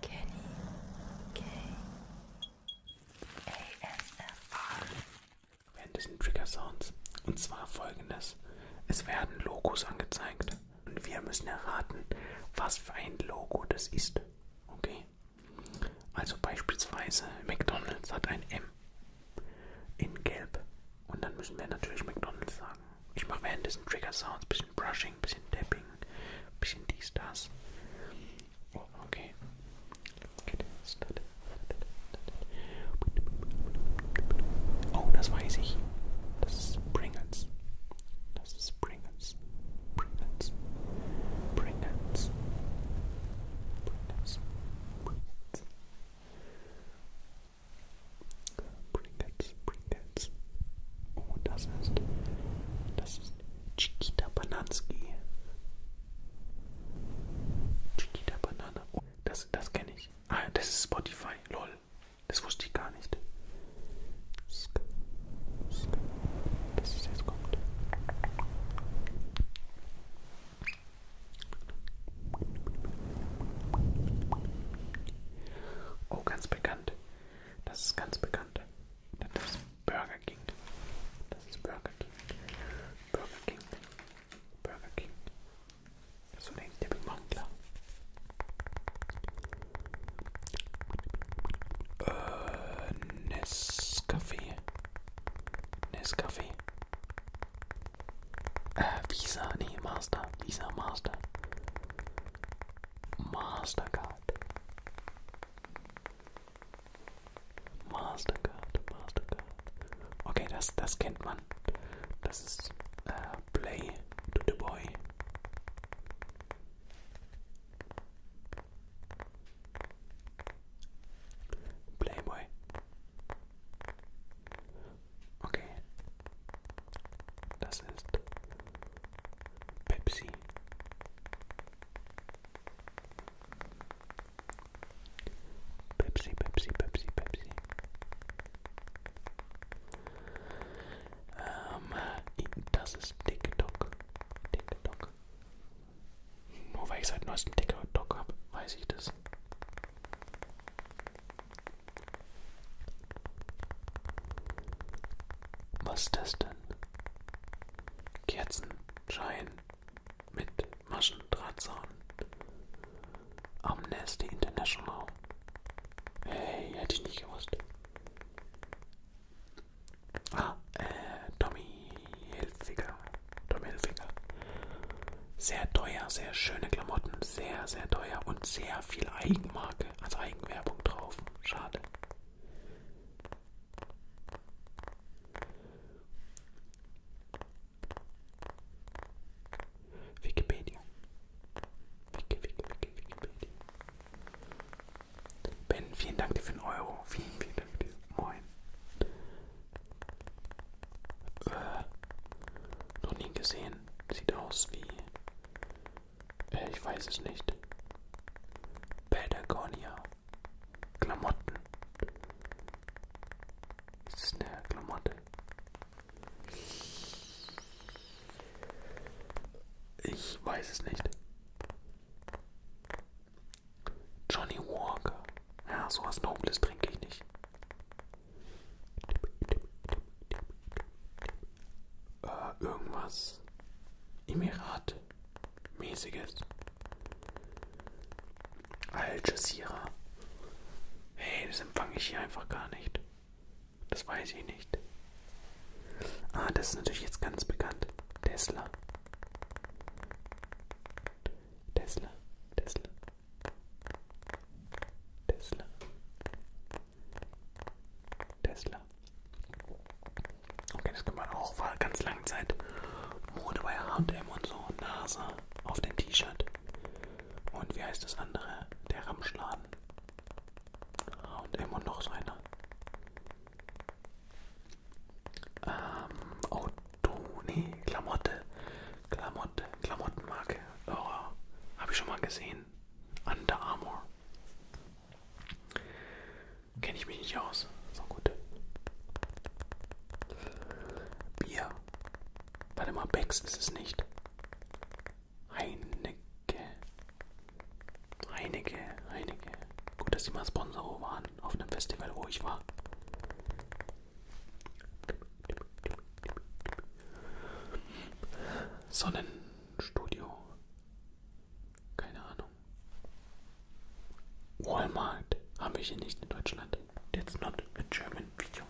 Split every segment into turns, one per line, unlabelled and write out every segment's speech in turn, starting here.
Kenny K. ASMR während diesen Trigger Sounds. Und zwar folgendes: Es werden Logos angezeigt. Und wir müssen erraten, was für ein Logo das ist. Okay? Also beispielsweise McDonald's hat ein M in Gelb. Und dann müssen wir natürlich McDonald's sagen. Ich mache währenddessen Trigger Sounds, bisschen Brushing. Dancing, bisschen Tapping, bisschen dies, das. Oh, okay. Get started. Oh, das weiß ich. Das ist Pringles. Das ist Pringles. Pringles. Pringles. Pringles. Pringles. Pringles. Pringles, Pringles. Oh, das ist, das ist Chiquita Bananski. Chiquita Banana. Oh, das, das kenne ich. Ah, das ist Spotify. Lol. Das wusste ich gar nicht. Das ist jetzt kommt. Oh, ganz bekannt. Das ist ganz bekannt. Das ist Burger King. Das ist Burger King. Burger King. Burger King. So denke ich, der Big Mangler. Äh, Nescafé. Nescafé. Äh, Visa, nee, Master. Visa, Master. Mastercard. Mastercard, Mastercard. Okay, das, das kennt man. Das ist äh, Play to the Boy. Playboy. Okay. Das ist Pepsi. Pepsi, Pepsi, Pepsi, Pepsi. Ähm, das ist TikTok. TikTok. Nur weil ich seit neuestem TikTok habe, weiß ich das. Was ist das denn? Kerzenschein mit Maschendrahtzaun. Amnesty International. Hey, hätte ich nicht gewusst. Ah, äh, Tommy Hilfiger. Tommy Hilfiger. Sehr teuer, sehr schöne Klamotten, sehr, sehr teuer und sehr viel Eigenmarke. Marke als Eigenwerbung drauf. Schade. Wikipedia. Wiki, Wiki, Wiki, Wikipedia. Ben, vielen Dank dir für den Euro. Vielen, vielen Dank dir. Moin. Äh, noch nie gesehen. Sieht aus wie äh, ich weiß es nicht. Patagonia. Klamotten. Das ist eine Klamotte. Ich weiß es nicht. Johnny Walker. Ja, sowas Nobles trinke ich nicht. Äh, irgendwas Emirat-mäßiges. Al Jazeera. Hey, das empfange ich hier einfach gar nicht. Das weiß ich nicht. Ah, das ist natürlich jetzt ganz bekannt. Tesla. Tesla. Tesla. Tesla. Tesla. Okay, das kann man auch war ganz lange Zeit Mode bei H&M und so, NASA auf dem T-Shirt. Und wie heißt das andere? Der Ramschladen. H&M und noch so einer. Ähm, Auto, nee, Klamotte. Klamotte, Klamottenmarke. Oh, habe ich schon mal gesehen. Under Armour. Kenne ich mich nicht aus. So gut. Bier. Warte mal, Becks ist es nicht. Heinecke. Heinecke, Heinecke. Gut, dass sie mal Sponsor waren auf einem Festival, wo ich war. Sonnenstudio. Keine Ahnung. Walmart haben wir hier nicht in Deutschland. That's not a German video.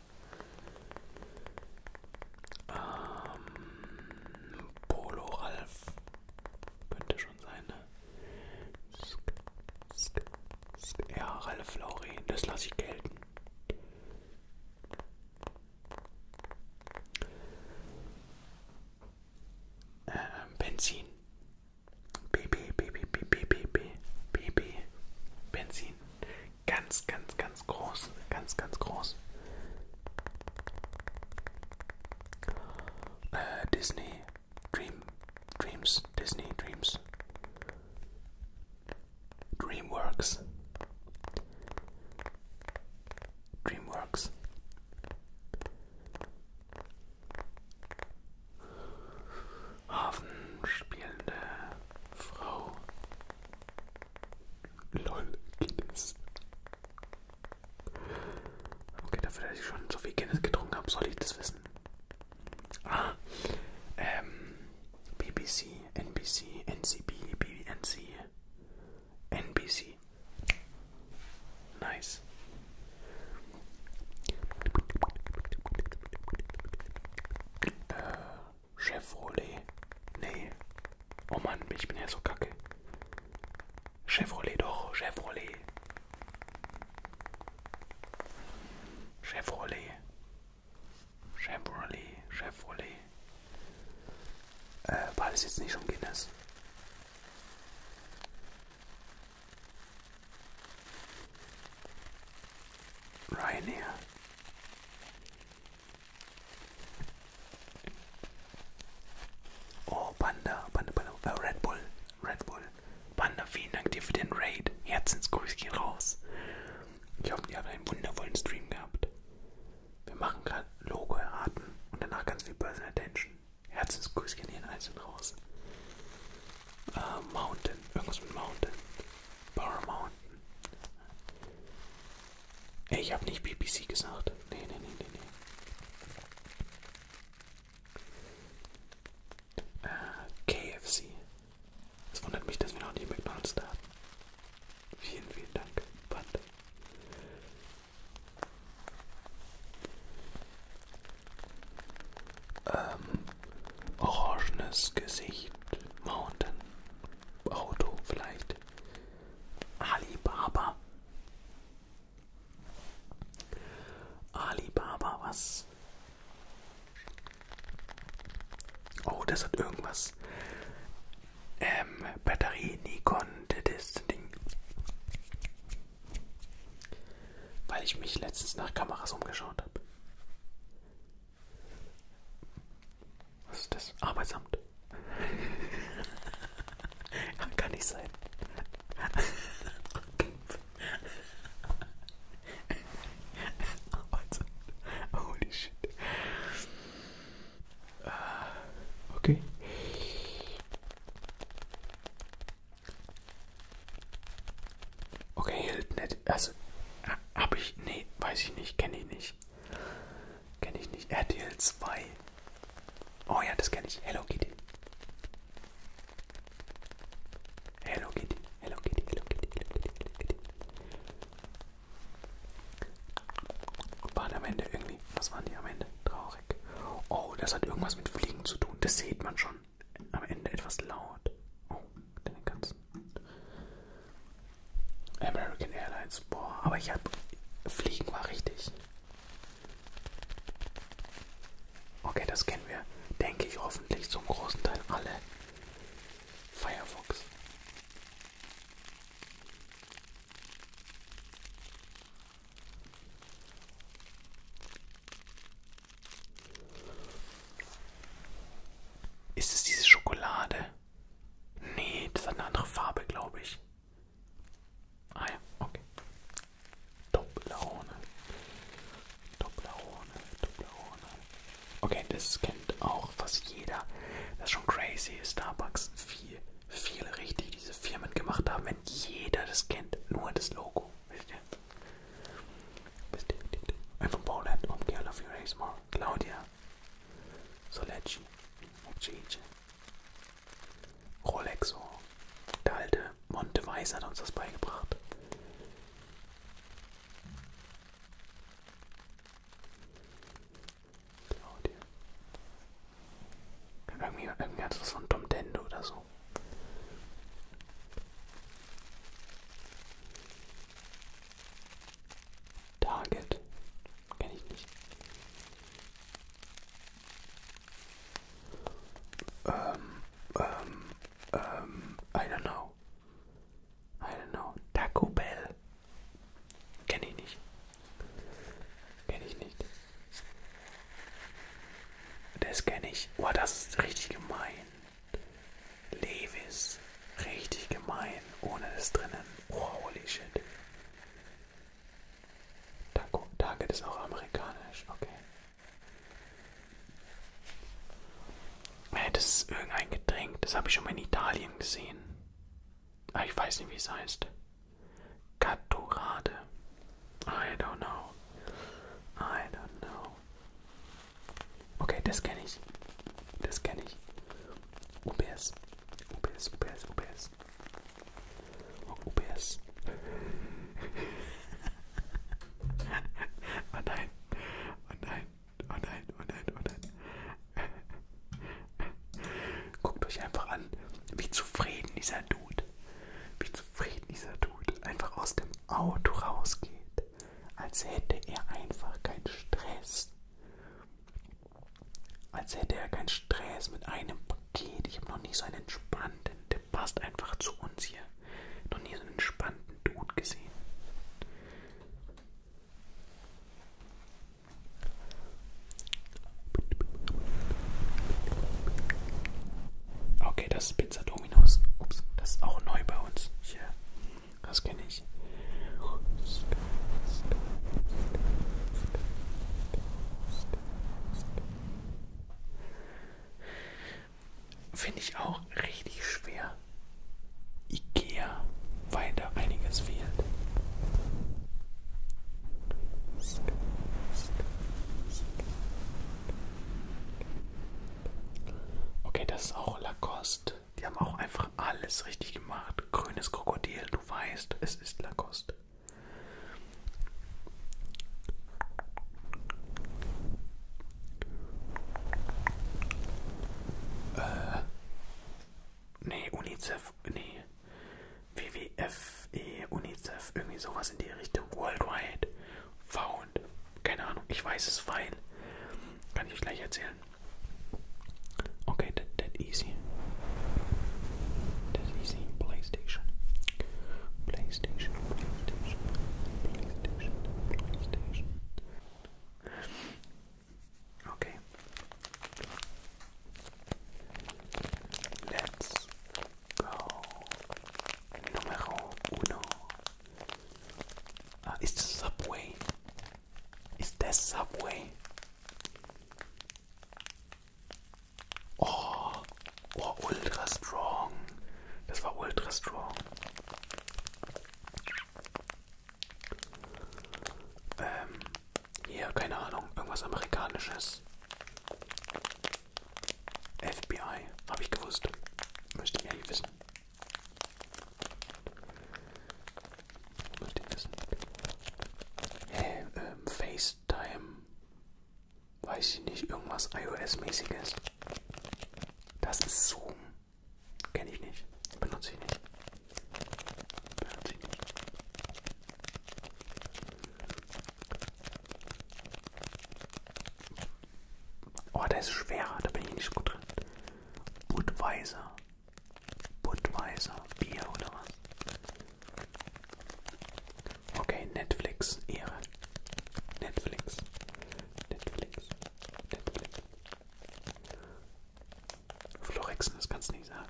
Ähm, Polo Ralf. Könnte schon sein, ne? Sk, sk, sk. Ja, Ralf Lauren. Das lasse ich gelten. Benzin. BB, BB, BB, BB, BB. Benzin. Ganz, ganz, ganz groß. Ganz, ganz groß. Äh, Disney. Dream. Dreams. Disney. Dreams. DreamWorks. DreamWorks. Hafen spielende Frau. LOL Guinness. Okay, dafür, dass ich schon so viel Guinness getrunken habe, soll ich das wissen. Ah, ähm, BBC, NBC, NCB, BNC, NBC. Nice. Äh, Chevrolet. Nee. Oh Mann, ich bin ja so kacke. Chevrolet doch, Chevrolet. Chevrolet. Chevrolet, Chevrolet. Äh, war das jetzt nicht schon Guinness? Ryanair. Oh, Panda, Panda, Panda, äh, Red Bull, Red Bull. Panda, vielen Dank dir für den Raid. Herzensgrüß gehen raus. Ich hoffe, ihr habt einen wundervollen Stream gehabt. Wir machen gerade Logo erraten und danach ganz viel Personal Attention. Herzensgrüßchen hier in Eis und raus. Uh, Mountain, irgendwas mit Mountain. Power Mountain. Ey, ich habe nicht BBC gesagt. Nee, nee, nee, nee, nee. Uh, äh, KFC. Es wundert mich, dass wir noch nie McDonalds da hatten. Vielen, vielen Dank, Panda. Ähm, orangenes Gesicht, Mountain, Auto vielleicht, Alibaba. Alibaba, was? Oh, das hat irgendwas. Ähm, Batterie Nikon, das Ding. Weil ich mich letztens nach Kameras umgeschaut habe. Was ist das? Arbeitsamt. Kann nicht sein also, holy shit. Uh, okay. Okay, hält nicht. Also, hab ich. Nee, weiß ich nicht. Kenne ich nicht. Kenne ich nicht. RTL 2. Oh ja, das kenne ich. Hello Kitty. Hello Kitty. Hello Kitty, Hello Kitty, Hello Kitty, Hello Kitty. Waren am Ende irgendwie, was waren die am Ende? Traurig. Oh, das hat irgendwas mit Fliegen zu tun. Das sieht man schon. Am Ende etwas laut. Oh, den ganzen. American Airlines. Boah, aber ich hab. Fliegen war richtig. Okay, das kennen wir, denke ich, hoffentlich zum großen Teil alle. Firefox. Ist es diese Schokolade? Nee, das hat eine andere Farbe, glaube ich. Ah ja, okay. Top Laune. Toblerone, Toblerone. Okay, das kennt auch fast jeder. Das ist schon crazy, Starbucks, wie viel richtig diese Firmen gemacht haben, wenn jeder das kennt, nur das Logo. Wisst ihr? Wisst ihr? I'm from Poland, I'm Girl of Erasmus, Claudia, Solecci, Cici, Rolexo, der alte Monte Weiss hat uns das beigebracht. Claudia. Irgendwie, irgendwie hat es was von Tom Dendo oder so. Target. Kenne ich nicht. Ähm, ähm, ähm, I don't know. I don't know. Taco Bell. Kenne ich nicht. Kenne ich nicht. Das kenne ich. Boah, das ist richtig gemein. Levis. Richtig gemein. Ohne das drinnen. Oh, holy shit. Taco. Target ist auch amerikanisch. Okay. Das ist irgendein Getränk, das habe ich schon mal in Italien gesehen. Aber ah, ich weiß nicht, wie es heißt. Caturade. I don't know. I don't know. Okay, das kenne ich. Das kenne ich. UPS. UPS, UPS, UPS. UPS. oh nein. Oh nein, oh nein, oh nein, oh nein. Guckt euch einfach an, wie zufrieden dieser Dude, wie zufrieden dieser Dude einfach aus dem Auto rausgeht. Als hätte er einfach keinen Stress. Als hätte er keinen Stress mit einem Paket. Ich habe noch nie so einen entspannten Passt einfach zu uns hier. Noch nie so einen entspannten Dude gesehen. Okay, das ist Pizza Dominos. Ups, das ist auch neu bei uns. Hier, das kenne ich. Finde ich auch richtig schwer. Ikea, weil da einiges fehlt. Okay, das ist auch Lacoste. Die haben auch einfach alles richtig gemacht. Grünes Krokodil, du weißt, es ist Lacoste. Äh. Nee, UNICEF, nee. WWFE, UNICEF, irgendwie sowas in die Richtung. Worldwide Found. Keine Ahnung, ich weiß es, weil. Kann ich euch gleich erzählen. Okay, that, that easy. That easy. PlayStation. PlayStation, PlayStation, PlayStation. PlayStation, PlayStation. Okay. Let's go. Numero uno. Uh, it's Subway. Is that Subway? Oh, Oh, ultra strong. Das war ultra strong. Ähm, hier, keine Ahnung, irgendwas amerikanisches. FBI, habe ich gewusst. Müsst ihr ja wissen. Müsst ihr wissen. Hey, ähm, FaceTime weiß ich nicht, irgendwas iOS-mäßiges. Das ist Zoom. Kenne ich nicht. Benutze ich nicht. Benutze ich nicht. Oh, der ist schwerer, da bin ich nicht so gut drin. Budweiser. Budweiser. Bier oder was? Okay, Netflix, Ehre. Netflix. Netflix. Netflix. Florexen, das kannst du nicht sagen.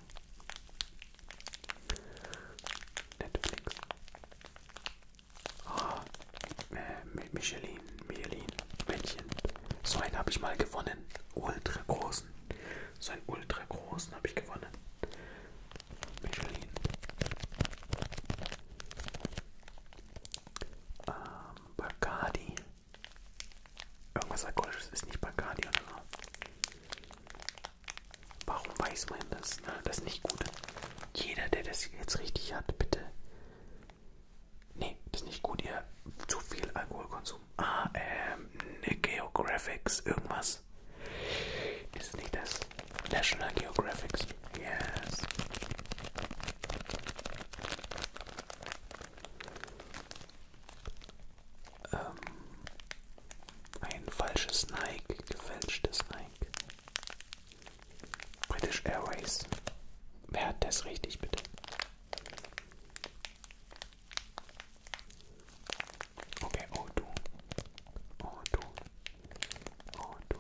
Netflix. Oh, äh, Michelin, Michelin, Männchen. So einen habe ich mal gewonnen. Ultra großen. So einen ultra großen habe ich gewonnen. Michelin. Ähm, Bacardi. Irgendwas Alkoholisches ist nicht Bacardi oder so. Warum weiß man das? Na, ne? das ist nicht gut. Jeder, der das jetzt richtig hat, bitte. Nee, das ist nicht gut, ihr zu viel Alkoholkonsum. Ah, ähm, ne Geographics, irgendwas. Das ist nicht das. National Geographics. Yes. Ähm, ein falsches Nike, gefälschtes Nike. British Airways. Wer hat das richtig, bitte? Okay, oh du. Oh du. Oh du.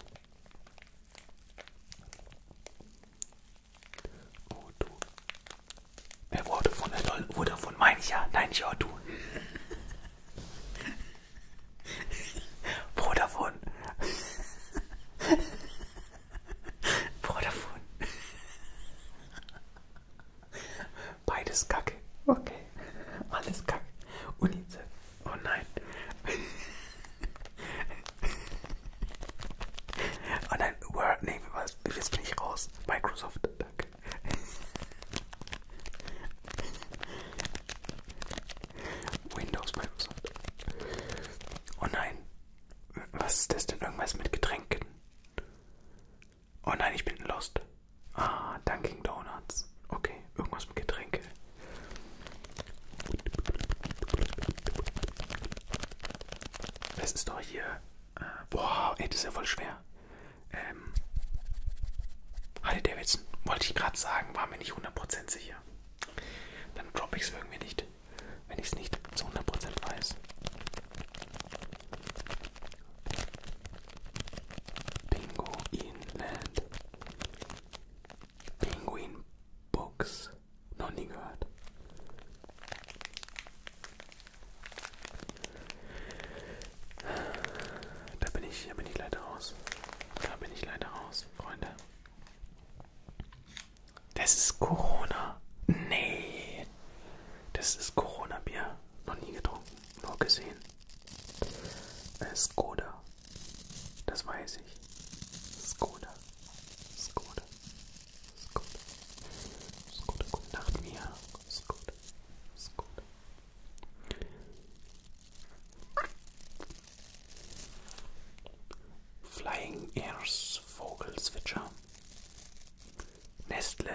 Oh du. Er wurde von der Doll wurde von mein ja. Nein, ich auch du. Vodafone. Vodafone. Beides Kacke. Okay. Alles Kacke. UNICEF. Oh nein. Oh nein, Word, nee, was? Jetzt bin ich raus. Microsoft, danke. Windows, Microsoft. Oh nein. Was ist das denn? Irgendwas mit Getränken. Oh nein, ich bin lost. Ah, Dunkin' Donuts. Okay, irgendwas mit Getränke. Das ist doch hier. Äh, boah, ey, das ist ja voll schwer. Ähm. Harley Davidson, wollte ich gerade sagen, war mir nicht 100% sicher. Dann droppe ich es irgendwie nicht, wenn ich es nicht zu 100% weiß. Bingo Inland. Penguin Books. Noch nie gehört. Da bin ich, da bin ich leider raus. Da bin ich leider raus, Freunde. Das ist Corona. Nee. Das ist Corona-Bier. Noch nie getrunken. Nur gesehen. Skoda. Das weiß ich. Skoda. Skoda. Skoda. Skoda. Gute Nacht, Mia. Skoda. Skoda. Flying Airs Vogelzwitscher. Nestle.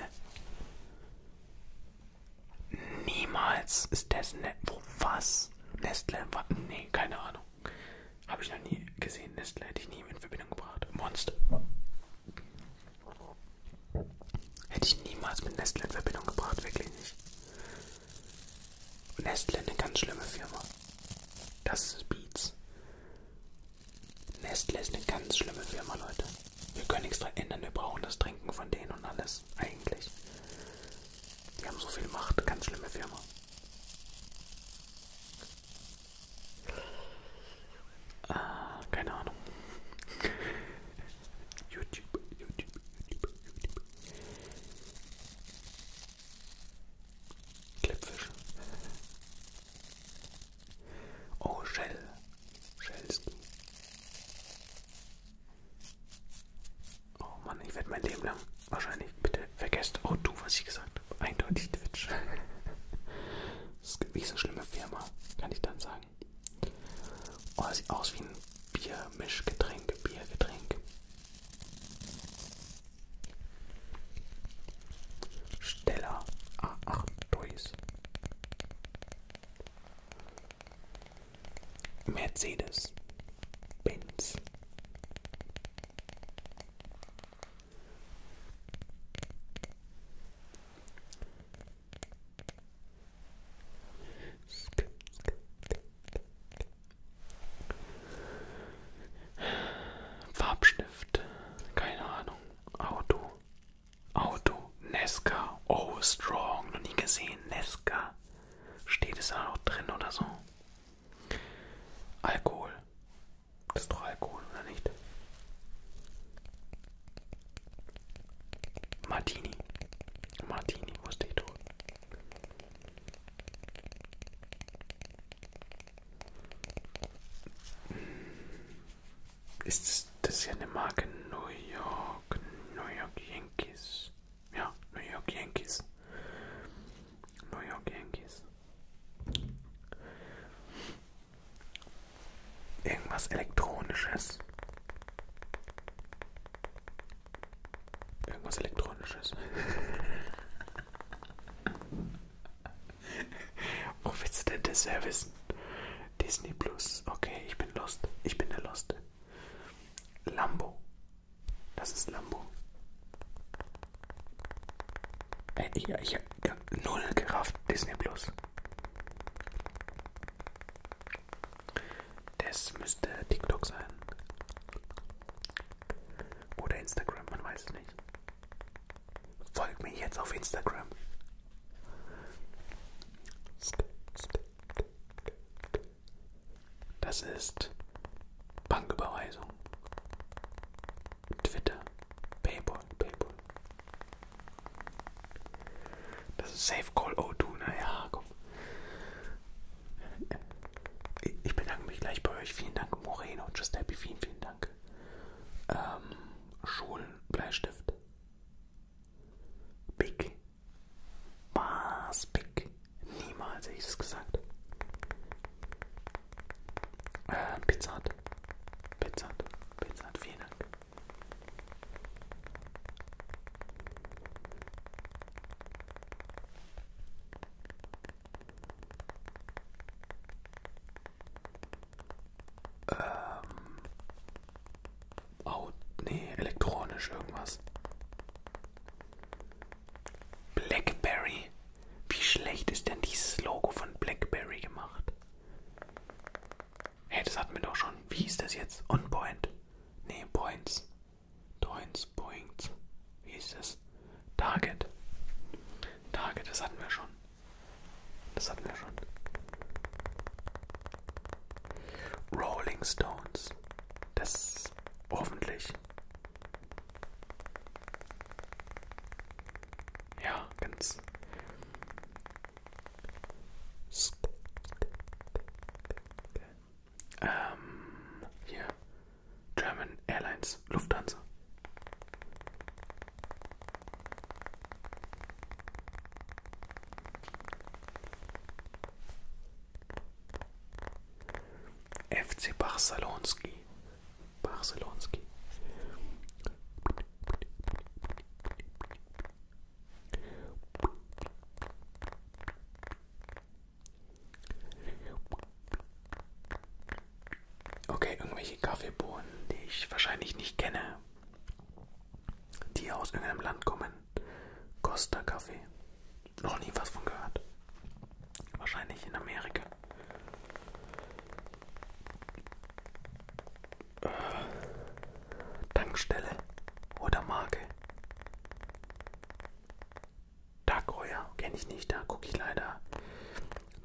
Niemals ist das Netto. Was? Nestle? Nee, keine Ahnung. Habe ich noch nie gesehen. Nestle hätte ich nie in Verbindung gebracht. Monster. Hätte ich niemals mit Nestle in Verbindung gebracht. Wirklich nicht. Nestle eine ganz schlimme Firma. Das ist Beats. Nestle ist eine ganz schlimme Firma, Leute. Wir können nichts dran ändern, wir brauchen das Trinken von denen und alles. Eigentlich. Die haben so viel Macht, ganz schlimme Firma. Ah, keine Ahnung. YouTube, YouTube, YouTube, YouTube. Klippfisch. Oh, Shell. Shellski. Oh Mann, ich werde mein Leben lang wahrscheinlich bitte vergesst. Oh du, was ich gesagt habe. Eindeutig Twitch. Es gibt nicht so schlimme Firma, kann ich dann sagen. Oh, sieht aus wie ein Biermischgetränk, Biergetränk. Stella A8 Toys. Mercedes, Benz. Farbstift, keine Ahnung, Auto, Auto Nesca. Oh, strong. Noch nie gesehen. Nesca. Steht es da noch drin oder so? Alkohol. Das ist doch Alkohol, oder nicht? Martini. Martini, wo steht dort? Ist das ist ja eine Marke New York, New York Yankees. Ja, New York Yankees. New York Yankees. Irgendwas Elektronisches. Irgendwas Elektronisches. Wo willst du denn das her wissen? Disney Plus. Okay, ich bin lost. Ich bin der Loste. Lambo. Das ist Lambo. Ey, äh, ich, ich habe null gerafft. Disney Plus. Das müsste TikTok sein. Oder Instagram, man weiß es nicht. Folgt mir jetzt auf Instagram. Das ist Banküberweisung, Twitter, Paypal, Paypal. Das ist Safe Call O2, naja, komm. Ich bedanke mich gleich bei euch. Vielen Dank, Moreno. Just Happy, vielen, vielen Dank. Ähm, Schulen, Bleistift. Big. Was? Big? Niemals hätte ich es gesagt. Äh, Pizza Hut. Pizza Hut. Pizza Hut. Vielen Dank. Ähm. Out, nee, elektronisch irgendwas. Blackberry. Wie schlecht ist denn dieses Logo von Blackberry gemacht? Hey, das hatten wir doch schon. Wie hieß das jetzt? On Point. Nee, Points. Points, Points. Wie hieß das? Target. Target, das hatten wir schon. Das hatten wir schon. Rolling Stones. Das hoffentlich. Ja, ganz. Ähm, hier. German Airlines Lufthansa. FC Barcelonski. Barcelonski. Okay, irgendwelche Kaffeebohnen, die ich wahrscheinlich nicht kenne die aus irgendeinem Land kommen. Costa Kaffee. Noch nie was von gehört. Wahrscheinlich in Amerika. Äh, Tankstelle oder Marke. Dark Heuer kenne ich nicht, da gucke ich leider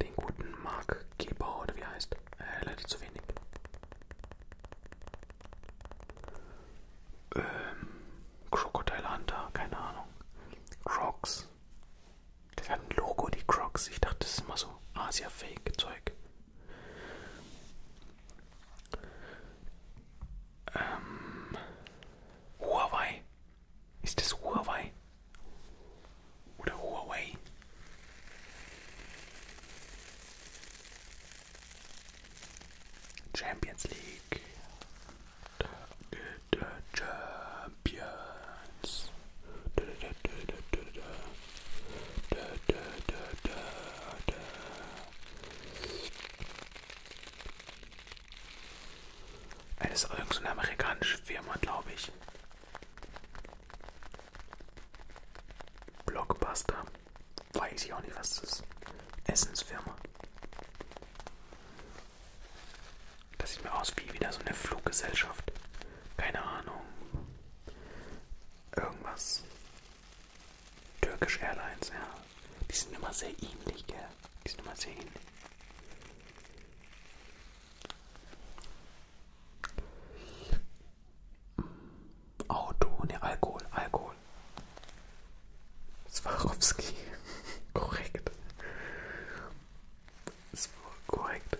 den guten Markgeber oder wie heißt. Äh, leider zu wenig. Ähm, Crocodile Hunter, keine Ahnung. Crocs. Das hat ein Logo, die Crocs. Ich dachte, das ist immer so Asia-Fake-Zeug. Ähm, Huawei. Ist das Huawei? oder Huawei. Champions League. Da geht der Champions. Da, da, da, da, da. Da, da, da, da, da. Das ist irgendeine so amerikanische Firma, glaube ich. Blockbuster. Weiß ich auch nicht, was das ist. Essensfirma. Das sieht mir aus wie wieder so eine Fluggesellschaft. Keine Ahnung. Irgendwas. Turkish Airlines, ja. Die sind immer sehr ähnlich, gell? Die sind immer sehr ähnlich. Auto, ne, Alkohol, Alkohol. Swarovski, korrekt. Das war korrekt.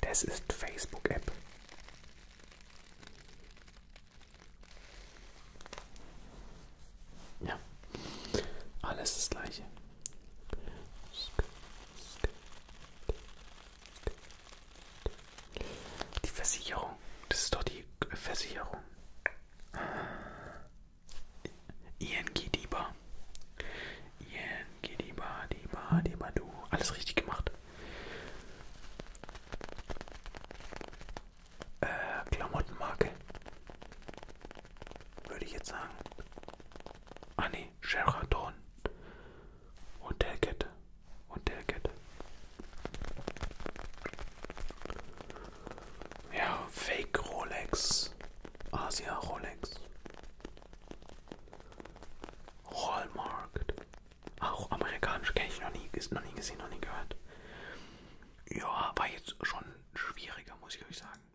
Das ist Facebook-App. Ja, alles das gleiche. Die Versicherung. Das ist doch die Versicherung. ING Diba. ING Diba, Diba, Diba, du. Alles richtig gemacht. Äh, Klamottenmarke. Würde ich jetzt sagen. Ah, nee. Sheraton. Hotelkette. Hotelkette. Ja, Fake Rolex. Asia Rolex. Hallmark. Auch amerikanisch kenne ich noch nie, ist noch nie gesehen, noch nie gehört. Ja, war jetzt schon schwieriger, muss ich euch sagen.